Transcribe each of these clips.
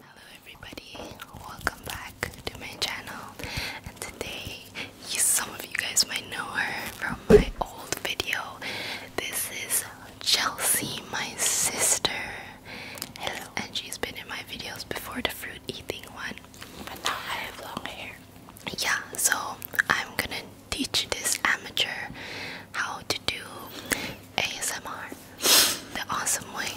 Hello everybody, welcome back to my channel and today yes, some of you guys might know her from my old video. This is Chelsea, my sister. Hello. And she's been in my videos before the fruit eating one. But now I have long hair. Yeah, so I'm gonna teach this amateur how to do ASMR. The awesome way.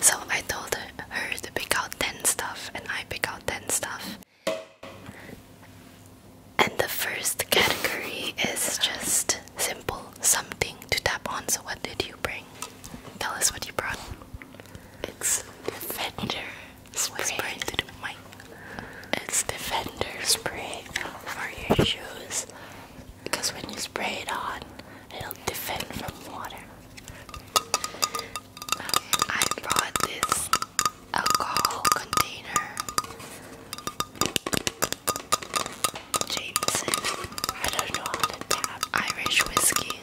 So I told her to pick out 10 stuff, and I pick out 10 stuff. And the first category is just simple something to tap on. So, what did you bring? Tell us what you brought. It's Defender Spray. Whisper the mic. It's Defender Spray for your shoes. Because when you spray it on, It'll defend from water. I brought this alcohol container. Jameson. I don't know how to tap Irish whiskey.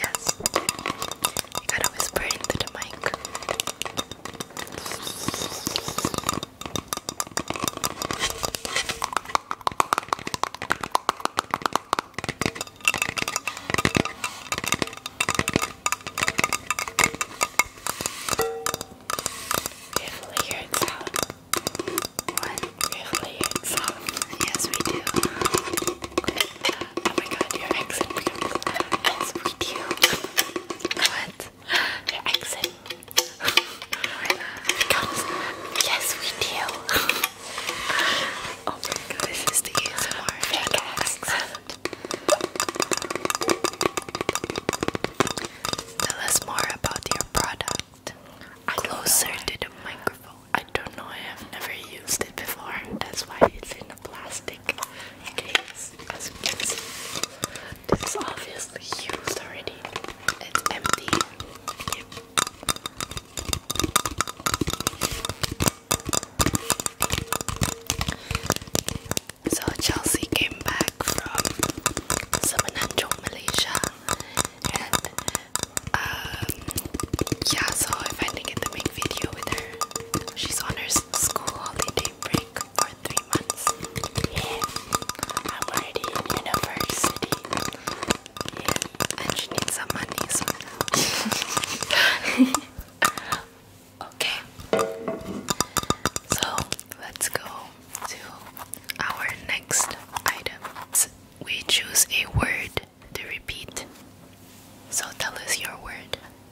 Yes. You gotta whisper into the mic. Beautiful hearing sound. What? Beautiful hearing sound. Yes, we do. Good. Oh my god, your accent becomes as with you. What? Your accent becomes yes we do. oh my god, this is the ASMR fake accent. Tell us more about your product. I Closer to the microphone. I don't know, I have never used it before. That's why it's in plastic as you can see. This is obviously used already. It's empty. So Chelsea came back from Semenanjung, Malaysia, and um, yeah, so I finally get to make video with her. She's on her school holiday break for three months. I'm already in university. and she needs some money, Okay, so let's go to our next item. We choose a word to repeat. So tell us your word.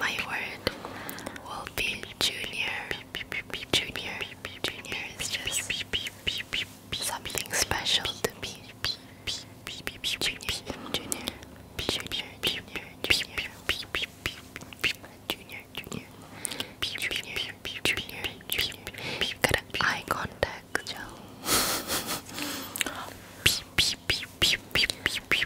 my word will be junior. Junior. Junior is just something special to me. Junior. Junior. Junior. Junior. Junior. Junior. Junior. Junior. Junior. Junior. Got an eye contact, Joe.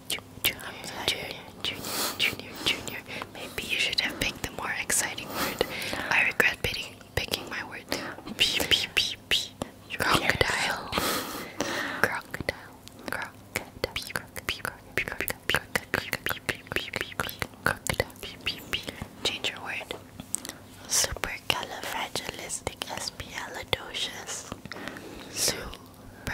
Junior, junior, junior, junior. Maybe you should have picked the more exciting word. I regret picking picking my word. P p p p. Crocodile. Crocodile. Crocodile. Change your word. Supercalifragilisticexpialidocious. Super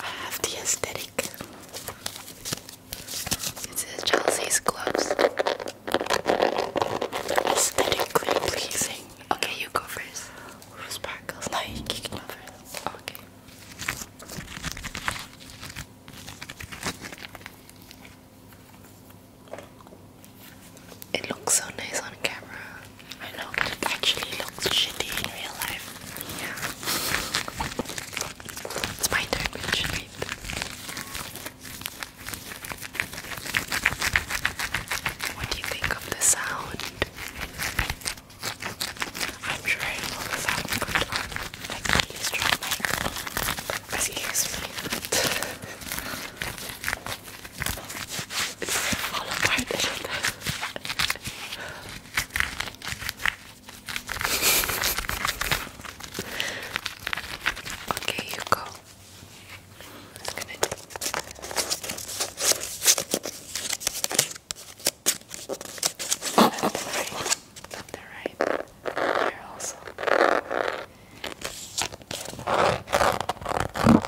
I have the aesthetic. It says Chelsea's gloves. Aesthetically pleasing. Okay, you go first. Or sparkles. No, you can go first. Okay. It looks so nice on camera. I know, but it actually looks shitty in real life. It's my turn, which right? What do you think of the sound? I'm sure I know sound uh, like really strong mic. Excuse me. it's a little Okay, you go. It's gonna do. Left and right. Left and also.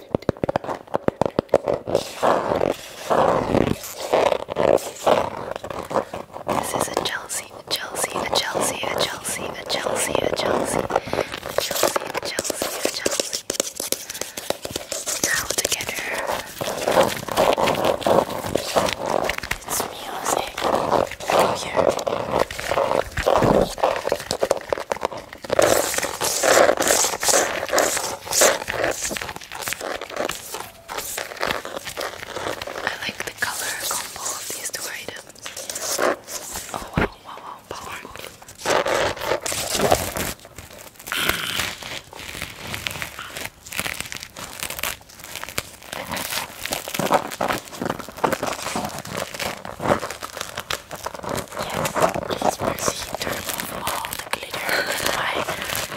This is a Chelsea, a Chelsea, a Chelsea, a Chelsea, a Chelsea, a Chelsea, a Chelsea, a Chelsea, Now together. It's music. Oh yeah. I like the color combo of these two items. Oh wow, wow, wow, powerful. Yes, please proceed to remove all the glitter in my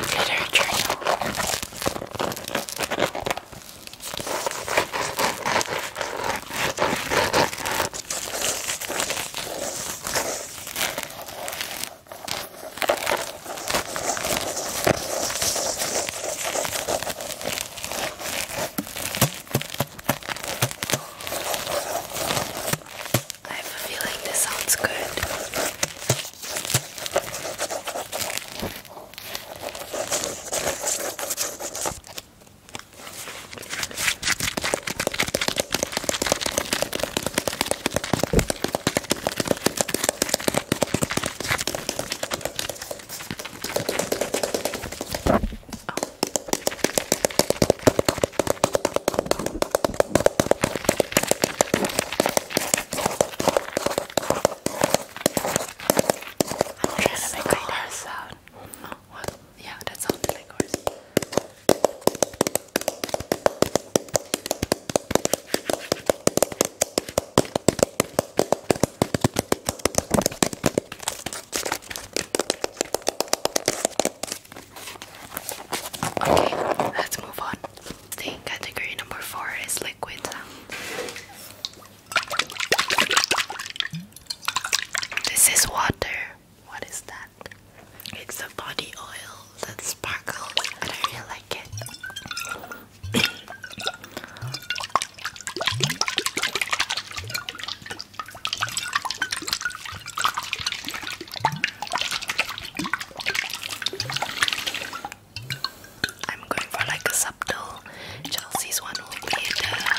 glitter journal. I have a feeling this sounds good. I'm trying to make a horse sound. Oh, what? Yeah, that sounded like horse. Okay, let's move on. category number four is liquid. This is water. What is that? It's a body oil that sparkles, and I really like it. I'm going for like a subtle Chelsea's one will be the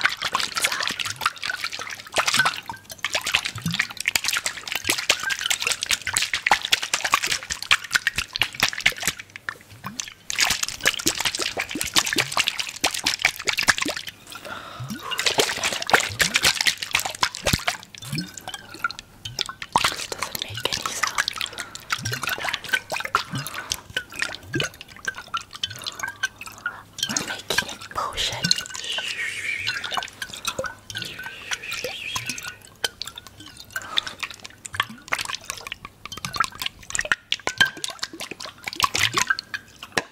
this doesn't make any sound. We're making a potion.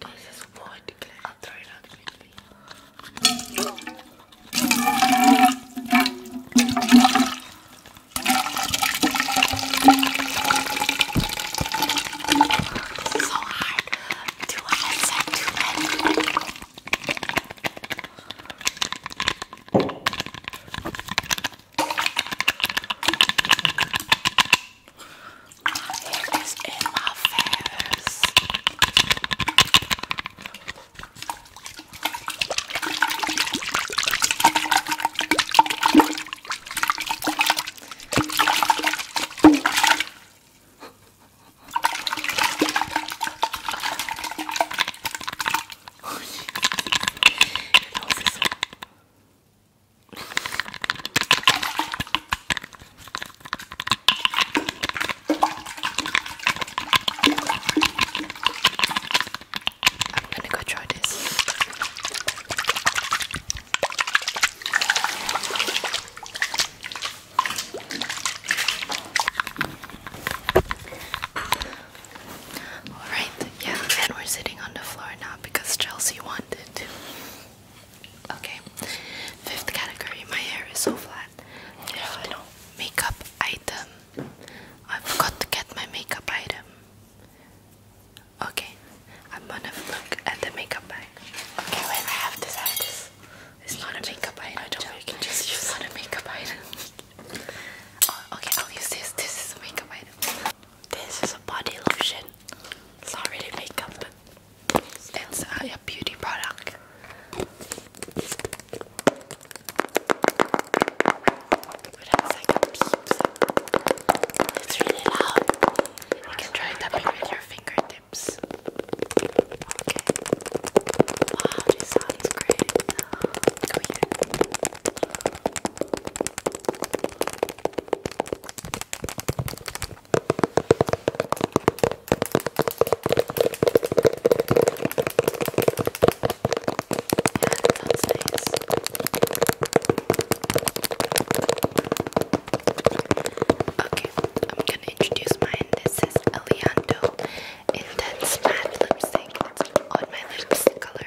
This is wood I'll throw it out quickly. This so hard. Two hands two men. It is in my face. Your nose is so I'm gonna go try this. Alright, yeah, and we're sitting on the floor now because Chelsea wanted to. Okay. Fifth category. My hair is so flat. There's no makeup item. I forgot to get my makeup item. Okay. I'm gonna look at the makeup bag. Okay, wait. I have this. I have this. It's not a makeup item. I don't. You can just use. It's not a makeup item. okay. I'll use this. This is a makeup item. This is a body lotion. It's not really makeup, it's a beauty product. It's really loud. You can try tapping with your fingertips. Okay. Wow, this sound great. Go Okay, I'm gonna introduce mine. This is Eliando Intense Matte Lipstick. It's on my lips color.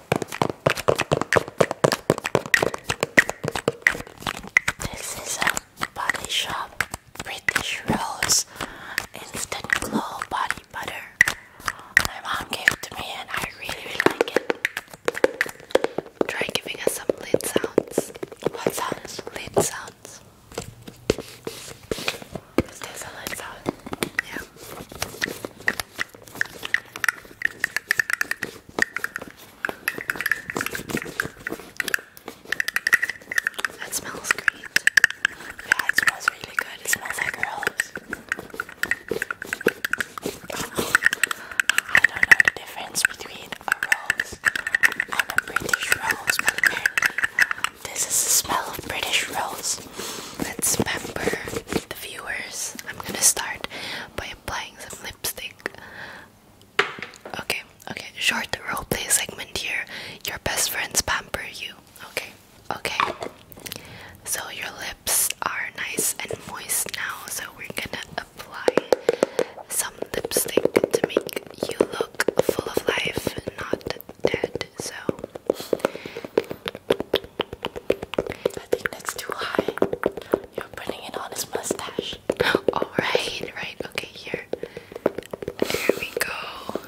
This is a body shop British Rose Instant Glow Body Butter. My mom gave it to me and I really, really like it. Try giving us some lid sounds. What sounds? Lid sounds. Is a lid sound? Yeah. That smells great. Yeah, it smells really good. It smells like rose. I don't know the difference between a rose and a British rose, this is the smell of British rose. Let's remember the viewers. I'm gonna start by applying some lipstick. Okay, okay, short roleplay segment here. Your best friends pamper you. Okay, okay. So your lips are nice and moist now, so we're gonna apply some lipstick to make you look full of life, not dead. So I think that's too high. You're putting it on his mustache. Alright, right, okay, here. Here we go.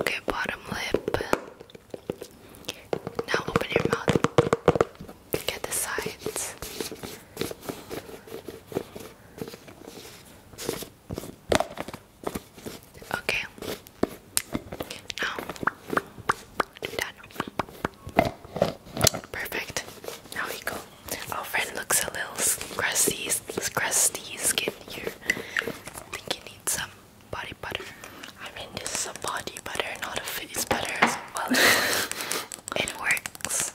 Okay, bottom lip. Now open your mouth. Get the sides. Okay. Now oh. done. Perfect. Now we go. Our friend looks a little crusty, crusty skin here. think he needs some body butter. I mean, this is a body butter, not a face butter. well, it works.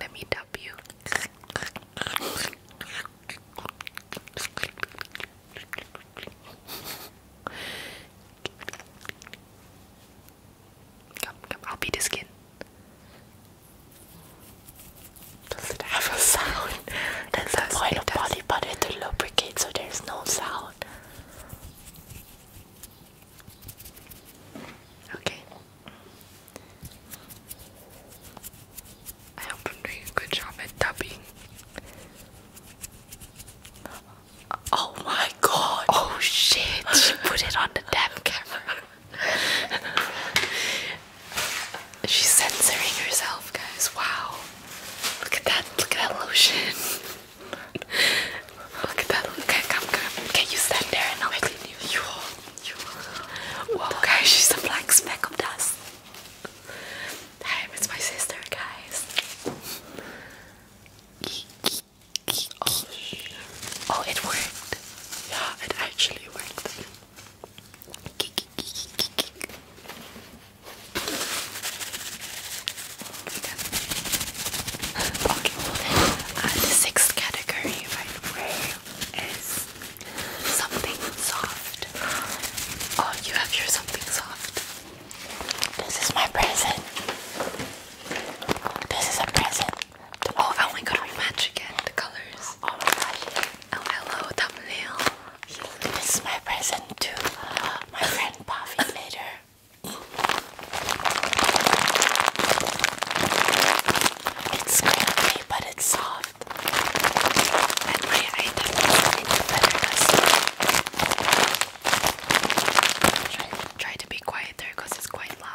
Let me dub you. Come, come, I'll be the skin. Does it have a sound? That's the does, point of does. body butter to lubricate so there's no sound. Okay. I hope I'm doing a good job at dubbing. Oh my god! Oh shit! She put it on the damn camera. She's censoring herself, guys. Wow. Look at that. Look at that lotion. Look at that. Okay, come, come. Can you stand there and I'll clean you? You are. You are. Whoa, guys, she's a black speck of dust. Damn, it's my sister, guys. Oh, oh it worked. Yeah, it actually worked. Okay. the sixth category, by the is something soft. Oh, you have your something soft. This is my present. This is a present. Oh, oh my god, we match again the colors. Oh my gosh. Oh, hello, thumbnail. This is my present to my friend Buffy later. It's crunchy, but it's soft. And my item is better try, try to be quiet there because it's quite loud.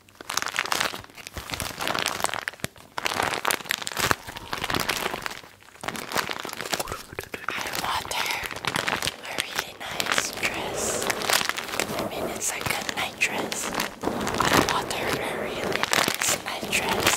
I wanted a really nice dress. I mean, it's like a night dress. I wanted a really nice night dress.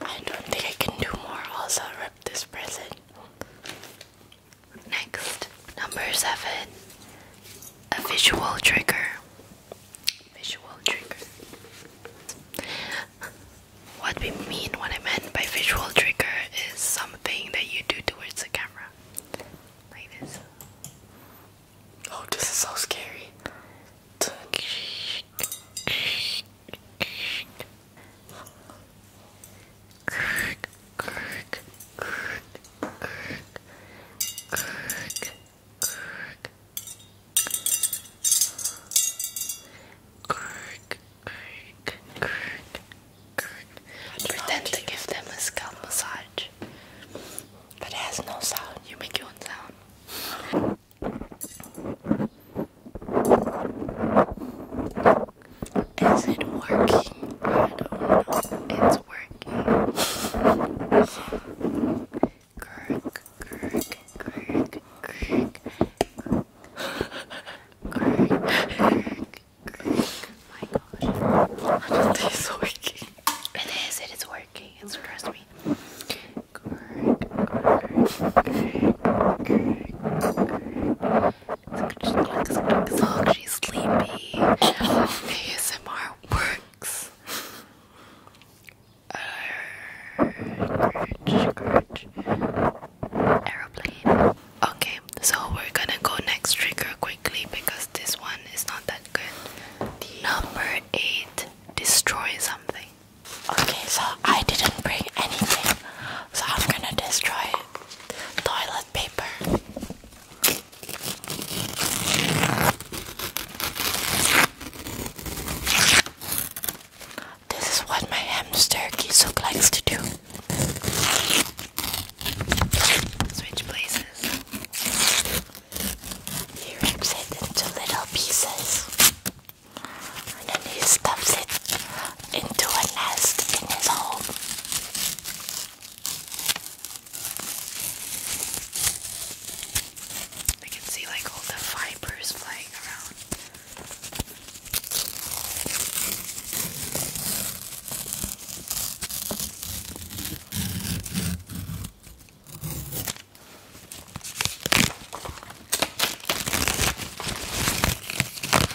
I don't think I can do more, also, rip this present. Next, number seven, a visual trigger. Visual trigger. What we mean, what I meant by visual trigger is something that you do towards the camera. Like this. Oh, this is so scary. Pretend to give them a scalp massage. But it has no sound. You make your own sound. Is it working? I don't know. It's working. Kirk, Kirk, Kirk, Kirk, Kirk, Kirk, My gosh. it's working. It is, it is working. It's trust me. Kirk, Kirk, Kirk, Kirk as long as she's sleepy, ASMR works. Okay, so we're gonna go next trigger quickly because this one is not that good. Number eight, destroy something. Okay, so I didn't bring anything, so I'm gonna destroy toilet paper. This is what my hamster Kisook likes to do. Switch places. He rips it into little pieces. And then he stuffs it into a nest in his home. You can see like all the fibers flying around.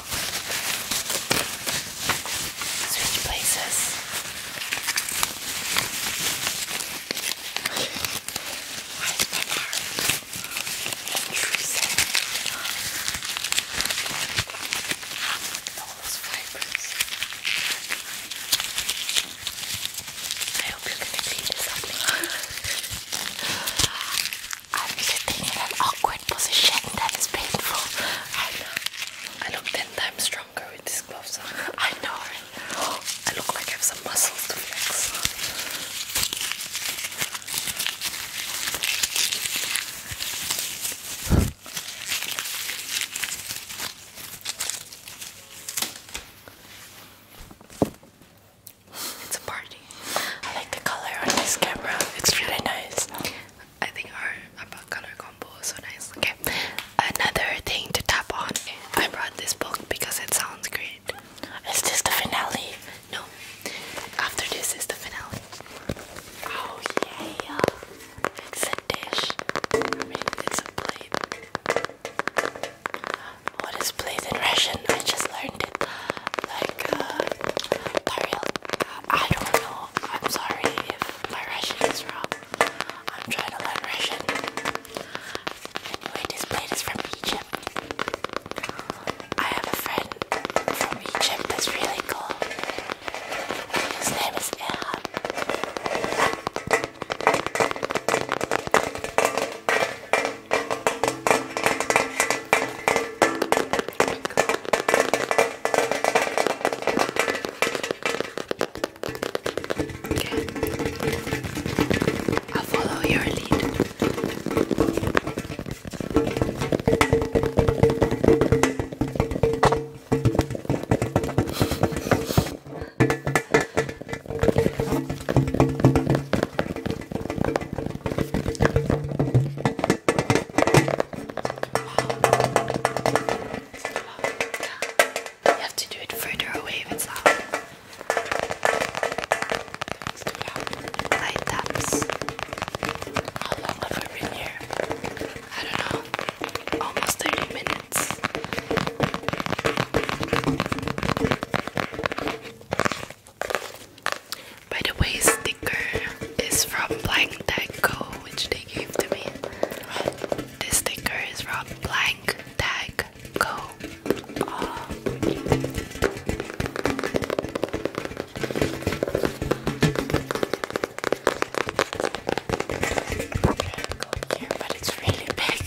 Switch places. Why is my those fibers. I hope you're going this up. I'm sitting in an awkward position that is painful. I look ten times stronger with these gloves on. I know. I look like I have some muscles to flex. It's a party. I like the color on this camera. It's really nice. I think our color combo is so nice. Okay, another thing to tap on. I brought this book because it sounds great. Is this the finale? No. After this is the finale. Oh yeah! It's a dish. it's a plate. What is plate in Russian? I just learned it. Like, uh, I don't know. I'm sorry if my Russian is wrong. I'm trying to learn Russian. this plate is from Egypt. I have a friend from Egypt that's really cool. His name is Erhan. Okay. I'll follow your lead. You have to do it further away if it's loud. Light taps. How long have we been here? I don't know. Almost 30 minutes. By the way, sticker is from Blank Tag Co, which they gave to me. This sticker is from Blank Tag Co. it's really big.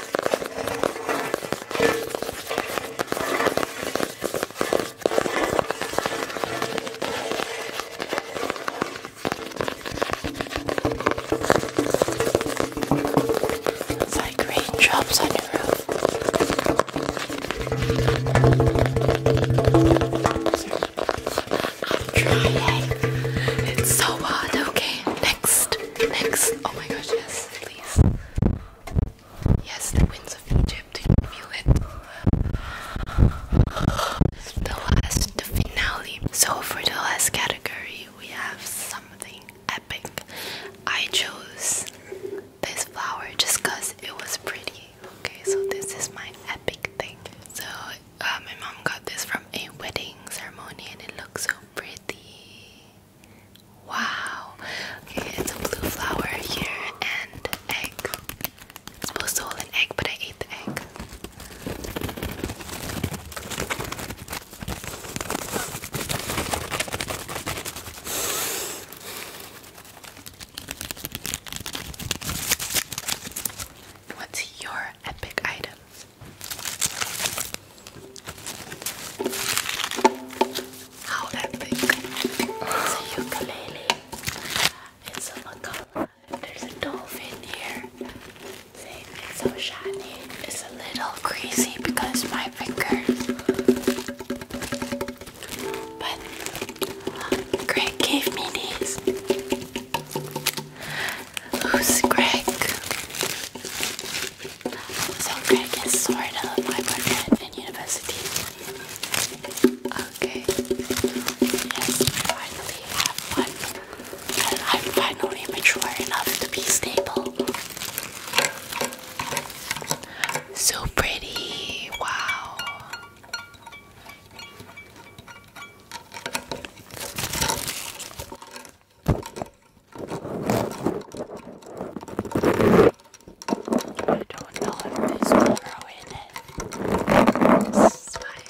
It's like raindrops on your roof. Try it. It's so hot. Okay, next. Next. Oh my gosh, yes, please. Yes, the winds of Egypt. Do you feel it? The last, finale. So for the last category, we have something epic. I chose this flower just cause it was pretty. Okay, so this is my epic thing. So uh, my mom got this from a wedding ceremony, and it looks so pretty. Wow. Okay, it's a blue flower here and egg. It's supposed to hold an egg, but I ate the egg. What's your epic item? How epic! It's a ukulele. It's a macaw. There's a dolphin here. it's so shiny. It's a little crazy because my fingers. But Greg gave me these. Who's Greg? So Greg is sort of my boyfriend in university. Okay. Yes, finally have one. And I'm finally mature enough to be stable. So pretty. Wow. I don't know if there's Velcro in it. This is fine.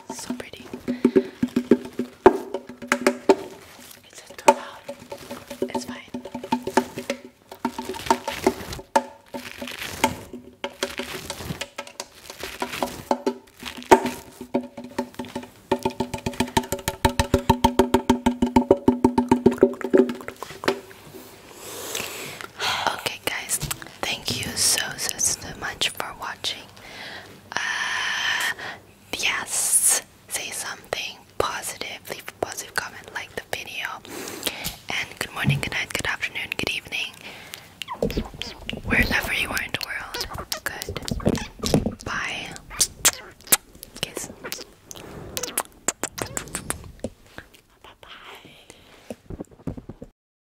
So pretty. It's not too It's fine. Okay guys, thank you so so much for watching. Uh, yes, say something positive, leave a positive comment, like the video. And good morning, good night, good afternoon, good evening. Wherever you are in the world. Good. Bye. Kiss. Bye bye.